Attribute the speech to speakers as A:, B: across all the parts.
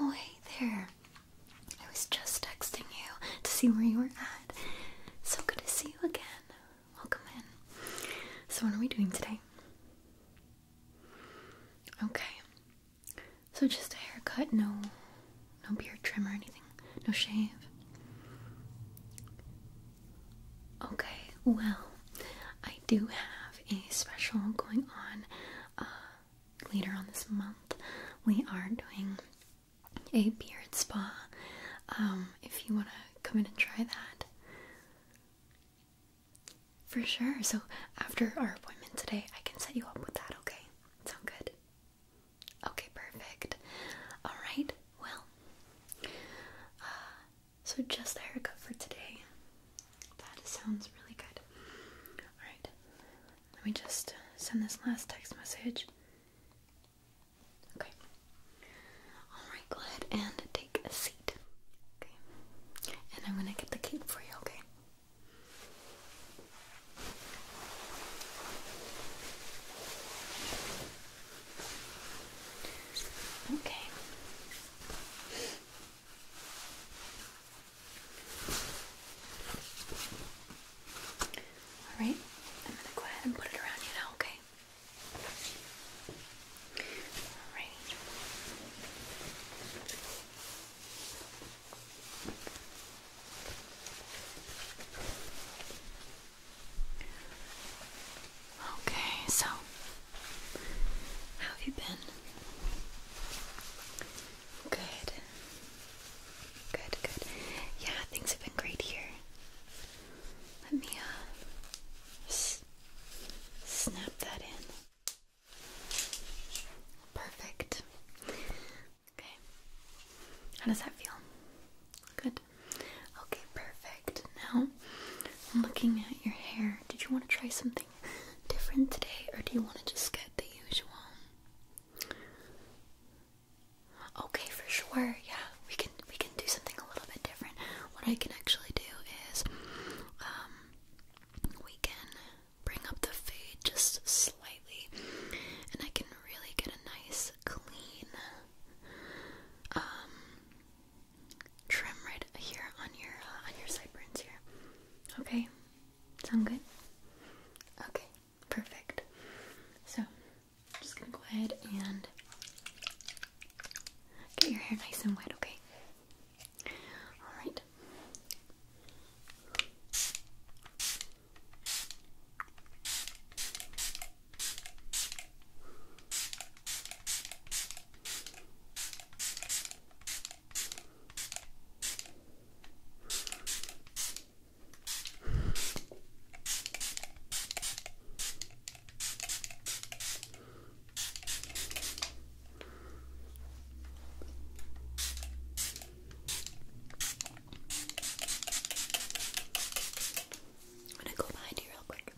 A: Oh, hey there. I was just texting you to see where you were at. So good to see you again. Welcome in. So, what are we doing today? Okay. So, just a haircut, no no beard trim or anything. No shave. Okay, well, I do have a special going on uh, later on this month. We are doing a beard spa. Um, if you want to come in and try that. For sure. So after our appointment today, I can set you up with that, okay? Sound good? Okay, perfect. Alright, well, uh, so just the haircut for today. That sounds really good. Alright, let me just send this last text message. Okay. Alright, go ahead and take a seat. Okay. And I'm gonna get the cape for you, okay? Okay. All right. I'm gonna go ahead and put it around you now. Okay. All right. Okay, so how have you been? Good. Good, good. Yeah, things have been great here. Let me uh s snap that in. Perfect. Okay. How does that feel? Good. Okay, perfect. Now, looking at your hair. Did you want to try something different today, or do you want to just get the usual? Okay, for sure. Yeah, we can we can do something a little bit different. What I can actually do is, um, we can bring up the fade just slightly, and I can really get a nice clean, um, trim right here on your uh, on your sideburns here. Okay, sound good? Okay, perfect. So, just gonna go ahead and get your hair nice and wet. Okay. All right. I'm gonna go behind you real quick back.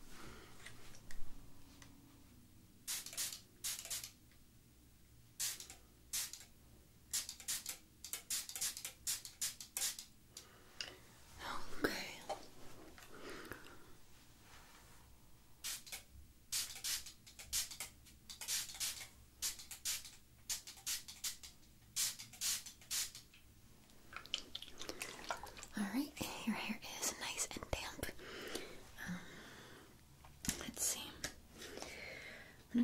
A: Okay. Alright, your hair is nice and damp. Um, let's see. I'm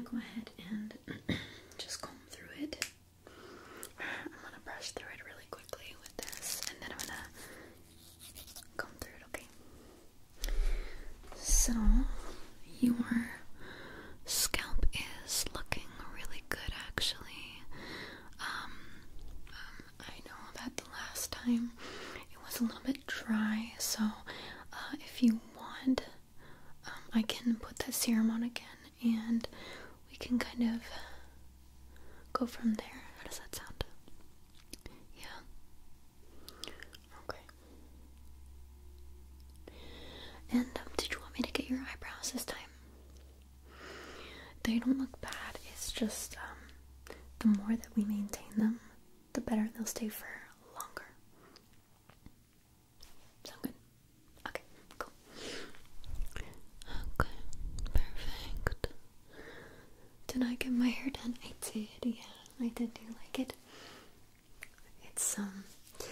A: gonna go ahead and just comb through it. I'm gonna brush through it really quickly with this, and then I'm gonna comb through it, okay? So, your scalp is looking really good actually. Um, um, I know that the last time it was a little bit dry, so uh, if you want, um, I can put the serum on again and we can kind of go from there. How does that sound? Yeah. Okay. And um, did you want me to get your eyebrows this time? They don't look bad. It's just um, the more that we maintain them, the better they'll stay for longer. Sound good? Okay, cool. Okay, perfect. Did I get my hair done? I did, yeah. I did do like it. It's um a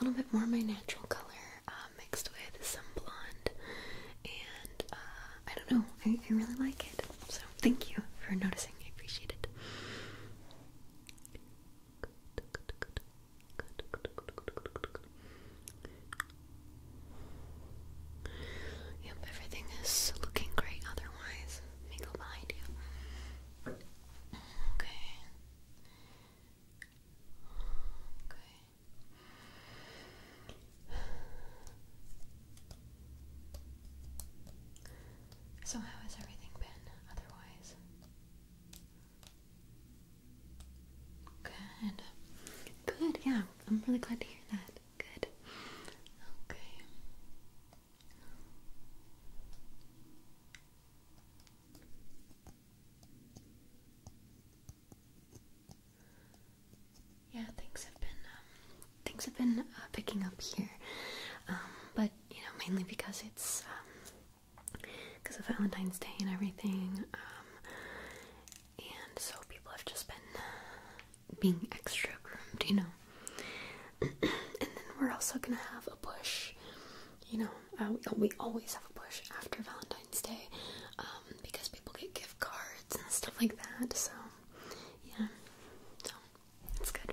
A: little bit more my natural color. Um, mixed with some blonde, and uh, I don't know, I, really like it. So thank you for noticing, I appreciate it. Yep, everything is looking great otherwise. Let me go Okay. Okay. So, how has everything been otherwise? Good. Good, yeah. I'm really glad to hear that. Good. Okay. Yeah, things have been um, things have been uh, picking up here, um, but you know mainly because it's because um, of Valentine's Day and everything, and so people have just been uh, being extra groomed, you know. and then we're also gonna have a push you know, uh, we always have a push after Valentine's Day um, because people get gift cards and stuff like that. So, yeah, so it's good.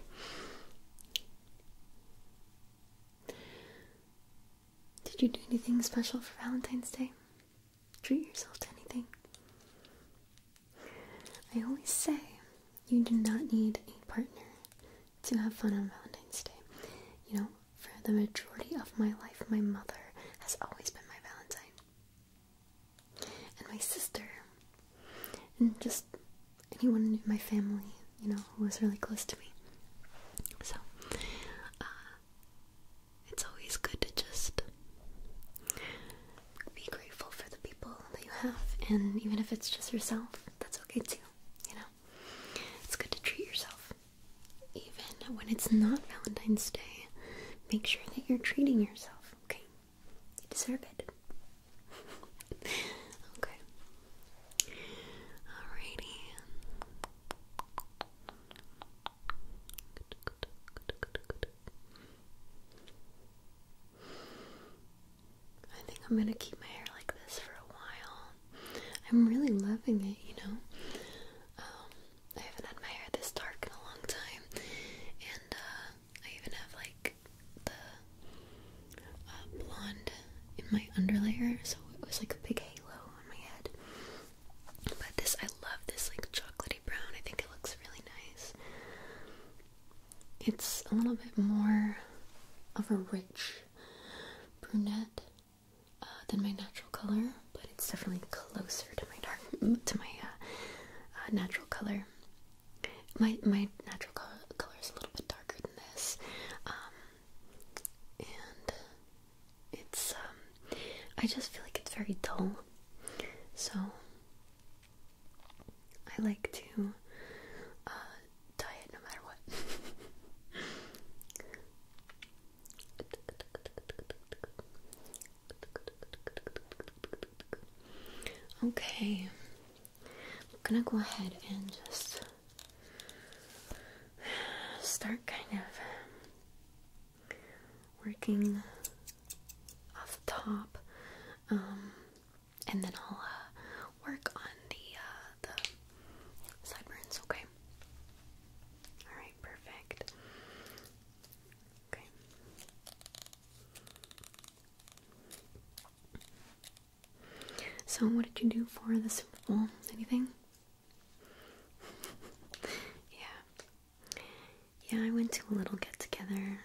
A: Did you do anything special for Valentine's Day? Treat yourself to anything. I always say you do not need a partner to have fun on Valentine's Day. You know, for the majority of my life, my mother has always been my Valentine. And my sister. And just anyone in my family, you know, who was really close to me. So, uh, it's always good to just be grateful for the people that you have, and even if it's just yourself, that's okay too, you know? It's good to treat yourself even when it's not Valentine's Day, make sure that you're treating yourself, okay? You deserve it. okay. Alrighty. I think I'm gonna keep my hair like this for a while. I'm really loving it, you know. Um, I haven't had my hair this dark in a long time, and uh, I even have like the uh, blonde in my underlayer, so it was like a big halo on my head. But this, I love this like chocolatey brown. I think it looks really nice. It's a little bit more of a rich brunette uh, than my natural color, but it's definitely closer to my dark to my uh, uh, natural color. My my natural color, is a little bit darker than this, um, and it's um, I just feel like it's very dull, so I like to uh, dye it no matter what. Okay, I'm gonna go ahead and just start kind of working off the top, um, and then I'll uh, work on the uh, the sideburns. Okay. Alright, perfect. Okay. So, what did you do for the Super Bowl? Anything? yeah. Yeah, I went to a little get together.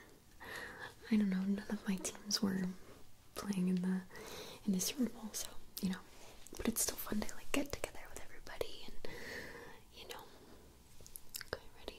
A: I don't know, none of my teams were playing in the in the Super Bowl, so you know, but it's still fun to like get together with everybody and you know. Okay, ready?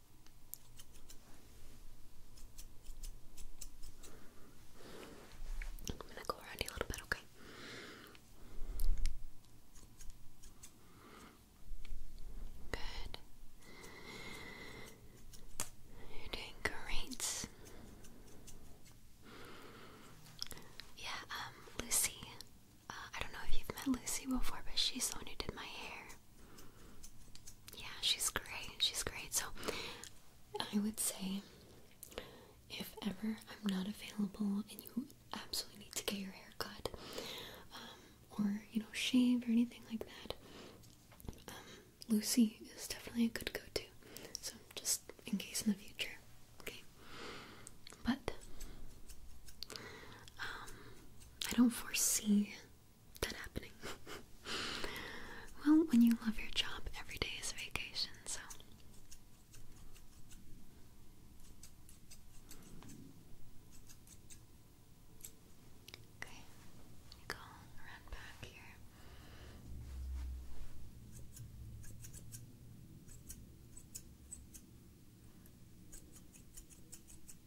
A: I'm gonna go around you a little bit, okay? Good. You're doing great. Yeah, um, Lucy. Uh, I don't know if you've met Lucy before, but she's the one who did my hair. Yeah, she's great. She's great. So I would say if ever I'm not available and you absolutely need to get your hair cut um, or, you know, shave or anything like that, um, Lucy is definitely a good go to. So just in case in the future. Okay. But um, I don't foresee that happening. well, when you love your job, every day is vacation, so. Okay, go around back here.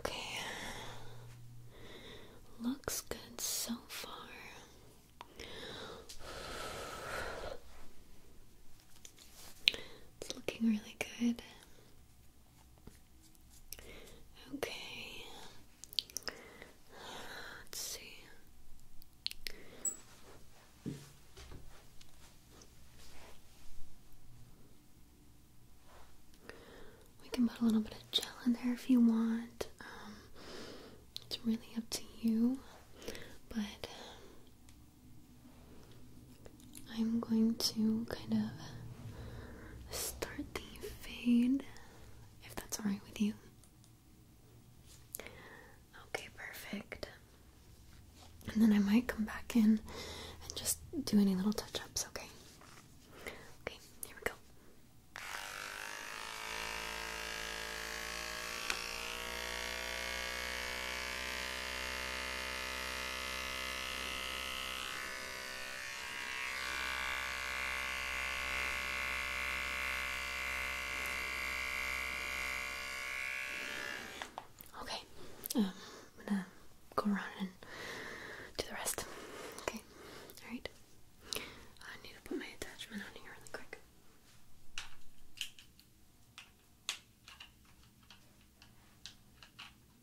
A: Okay. Looks good so far. It's looking really good. Okay. Let's see. We can put a little bit of gel in there if you want. Um, it's really up to you, but um, I'm going to kind of start the fade, if that's alright with you. Okay, perfect. And then I might come back in and just do any little touch ups, okay? Okay, here we go. Okay, Okay, um, I'm gonna go around and do the rest. Okay, alright. I need to put my attachment on here really quick.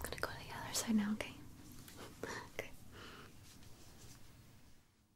A: I'm gonna go to the other side now, okay? okay.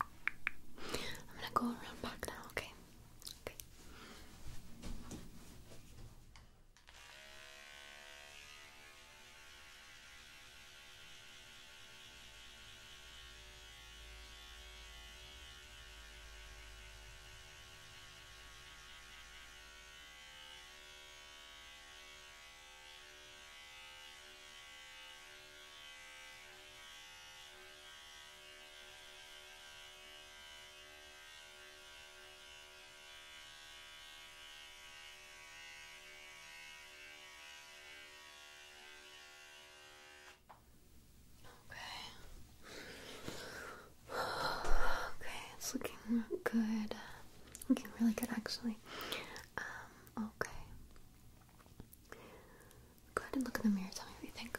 A: I'm gonna go around back now, okay? Okay. Okay. Okay, it's looking good. Looking really good, actually. Um, okay. Go ahead and look in the mirror. Tell me what you think.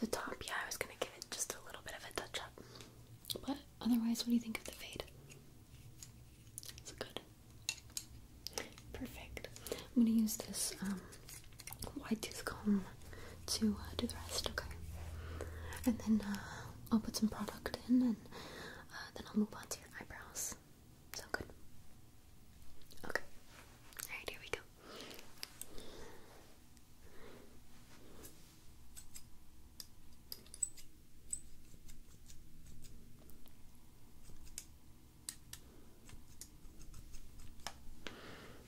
A: The top, yeah, I was gonna give it just a little bit of a touch up. But otherwise, what do you think of the fade? It's good. Perfect. I'm gonna use this white um, wide tooth comb to uh, do the rest, okay? And then uh, I'll put some product in and uh, then I'll move on to your eyebrows. Sound good? Okay. Alright, here we go.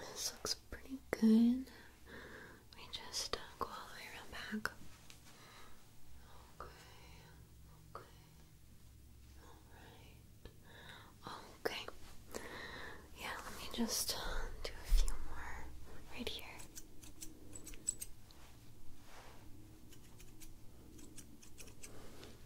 A: This looks pretty good. We just uh, go all the way around back. Okay, okay, alright. Okay. Yeah, let me just uh, do a few more right here.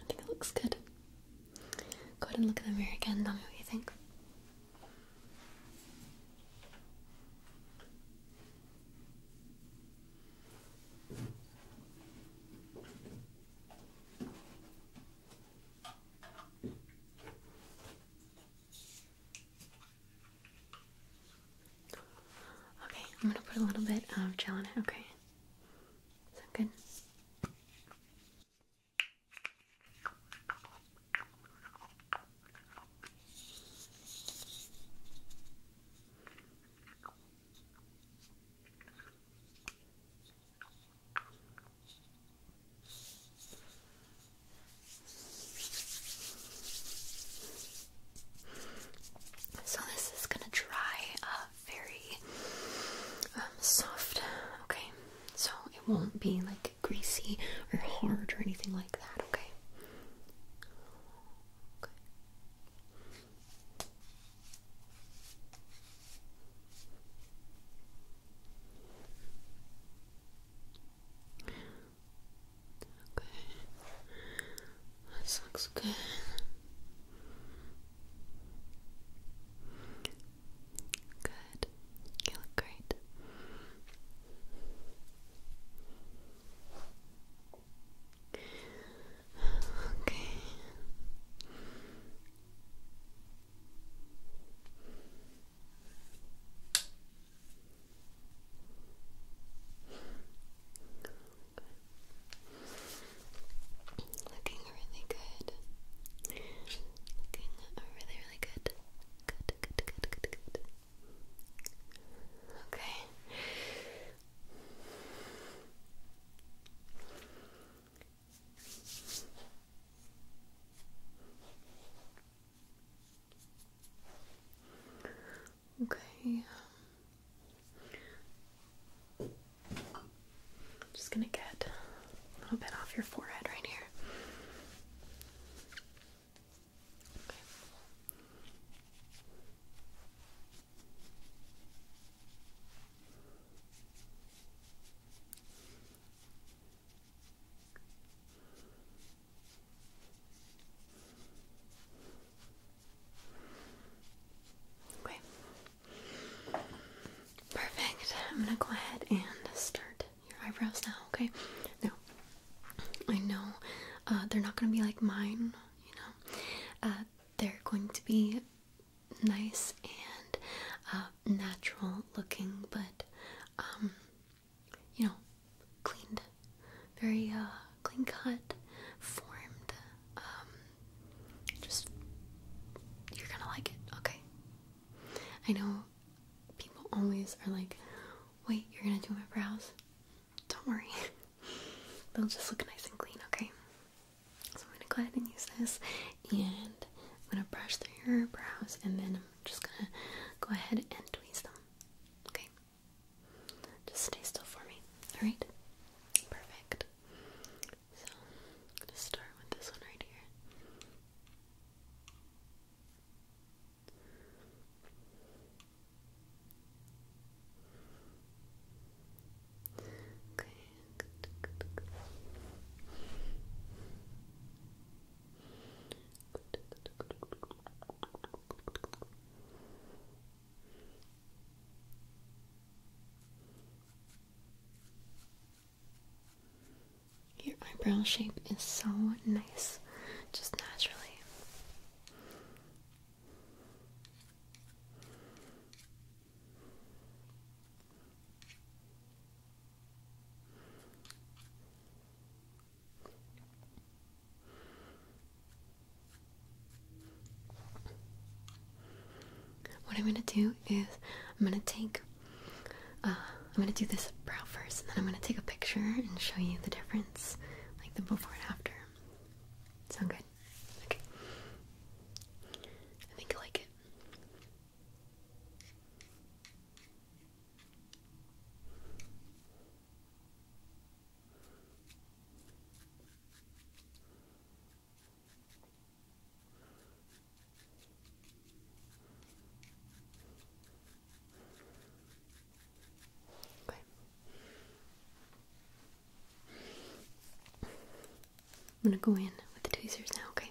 A: I think it looks good. Go ahead and look in the mirror again tell me what you think. Okay, I'm gonna put a little bit of gel in it, okay? Sound good? So this is gonna dry up very um, soft, okay? So it won't be like greasy or hard or anything like that, Okay. Okay. This looks good. Good. You look great. Okay. Okay. Looking really good. Looking really, really good. Good, good, good, good, good. Okay. Okay. Um, just gonna get a little bit off your forehead right here. Okay. Perfect. I'm gonna go ahead and start your eyebrows now, okay? No. I know uh, they're not gonna be like mine, you know. Uh, they're going to be nice and uh, natural looking, but um, you know, cleaned, very uh, clean cut, formed. Um, just you're gonna like it, okay? I know people always are like, "Wait, you're gonna do my brows?" Don't worry, they'll just look nice and clean, okay? So I'm gonna go ahead and use this, and I'm gonna brush through your brows, and then I'm I'm just gonna go ahead and tweeze them. Okay? Just stay still for me. Alright? Perfect. So, gonna start with this one right here. Okay. Your eyebrow shape is so nice, just naturally. What I'm gonna do is I'm gonna take uh, I'm gonna do this brow first and then I'm gonna take a picture and show you the difference, like the before and after. Sound good? Okay. I think I like it. Okay. I'm gonna go in with the tweezers now, okay?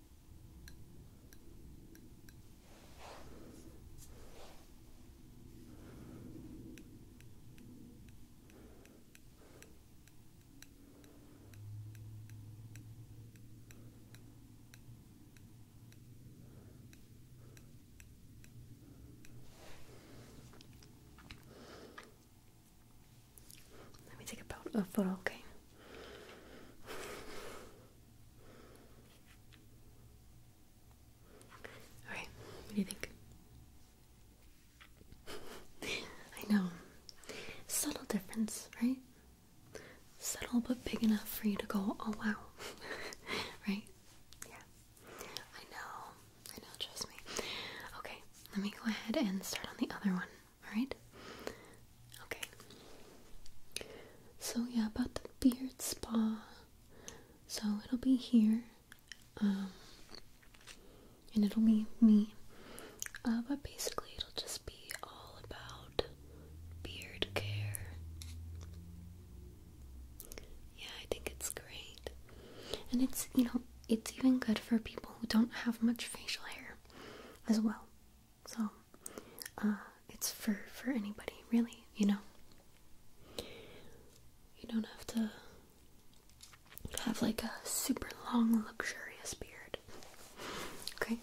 A: Let me take a photo, okay? Alright, what do you think? I know. Subtle difference, right? Subtle but big enough for you to go, oh wow. right? Yeah. I know. I know, trust me. Okay, let me go ahead and start on the other one. Alright? Okay. So, yeah, about the beard spa. So, it'll be here. Um, and it'll be me. Uh, but basically, it'll just be all about beard care. Yeah, I think it's great. And it's, you know, it's even good for people who don't have much facial hair as well. So, uh, it's for, for anybody, really, you know? You don't have to have like a super long, luxurious beard. Okay? Okay.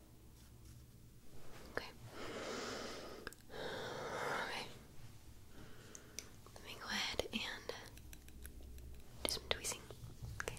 A: Okay. Okay. Let me go ahead and do some tweezing. Okay.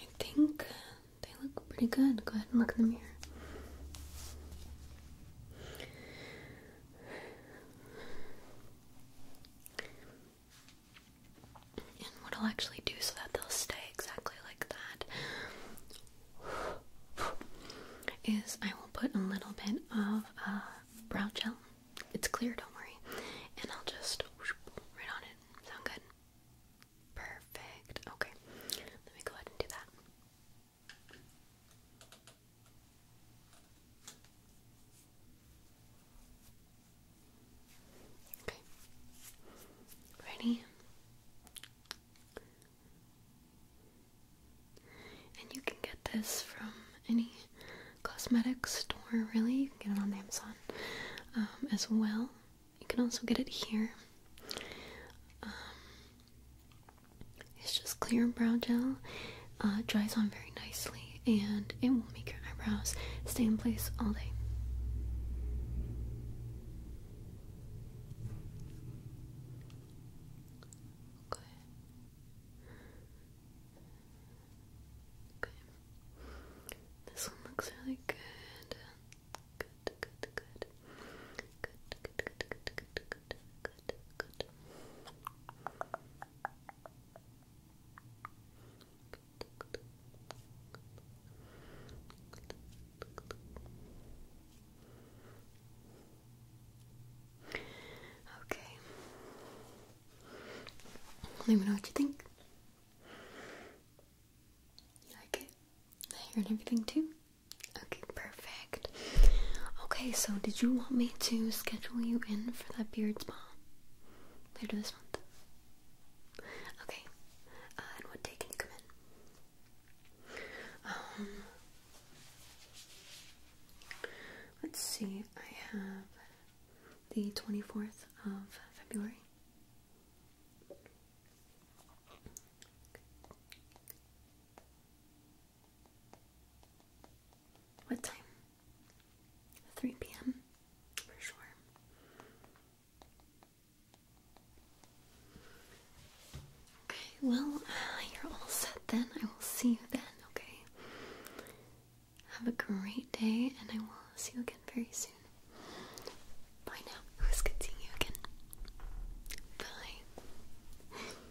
A: I think uh, they look pretty good. Go ahead and look in the mirror. And what I'll actually do so that they'll stay exactly like that is I will put a little bit of uh, brow gel. It's clear, don't worry. And I'll just right on it. Sound good? Perfect. Okay. Let me go ahead and do that. Okay. Ready? And you can get this from any cosmetic store, really. You can get it on Amazon um, as well. You can also get it here. Um, it's just clear brow gel. Uh, dries on very nicely, and it will make your eyebrows stay in place all day. Okay. Okay. This one looks really Good, good, good. Good, good, good, good, good, good good, good, good. Okay. Let me know what you think. You like it? The hair and everything too? Okay, perfect. Okay, so did you want me to schedule you in for that beard spa later this month? Okay, uh, and what day can you come in? Um, let's see, I have the 24th of February. What time? 3 p.m. for sure. Okay, well, uh, you're all set then. I will see you then, okay? Have a great day, and I will see you again very soon. Bye now. It was good seeing you again. Bye.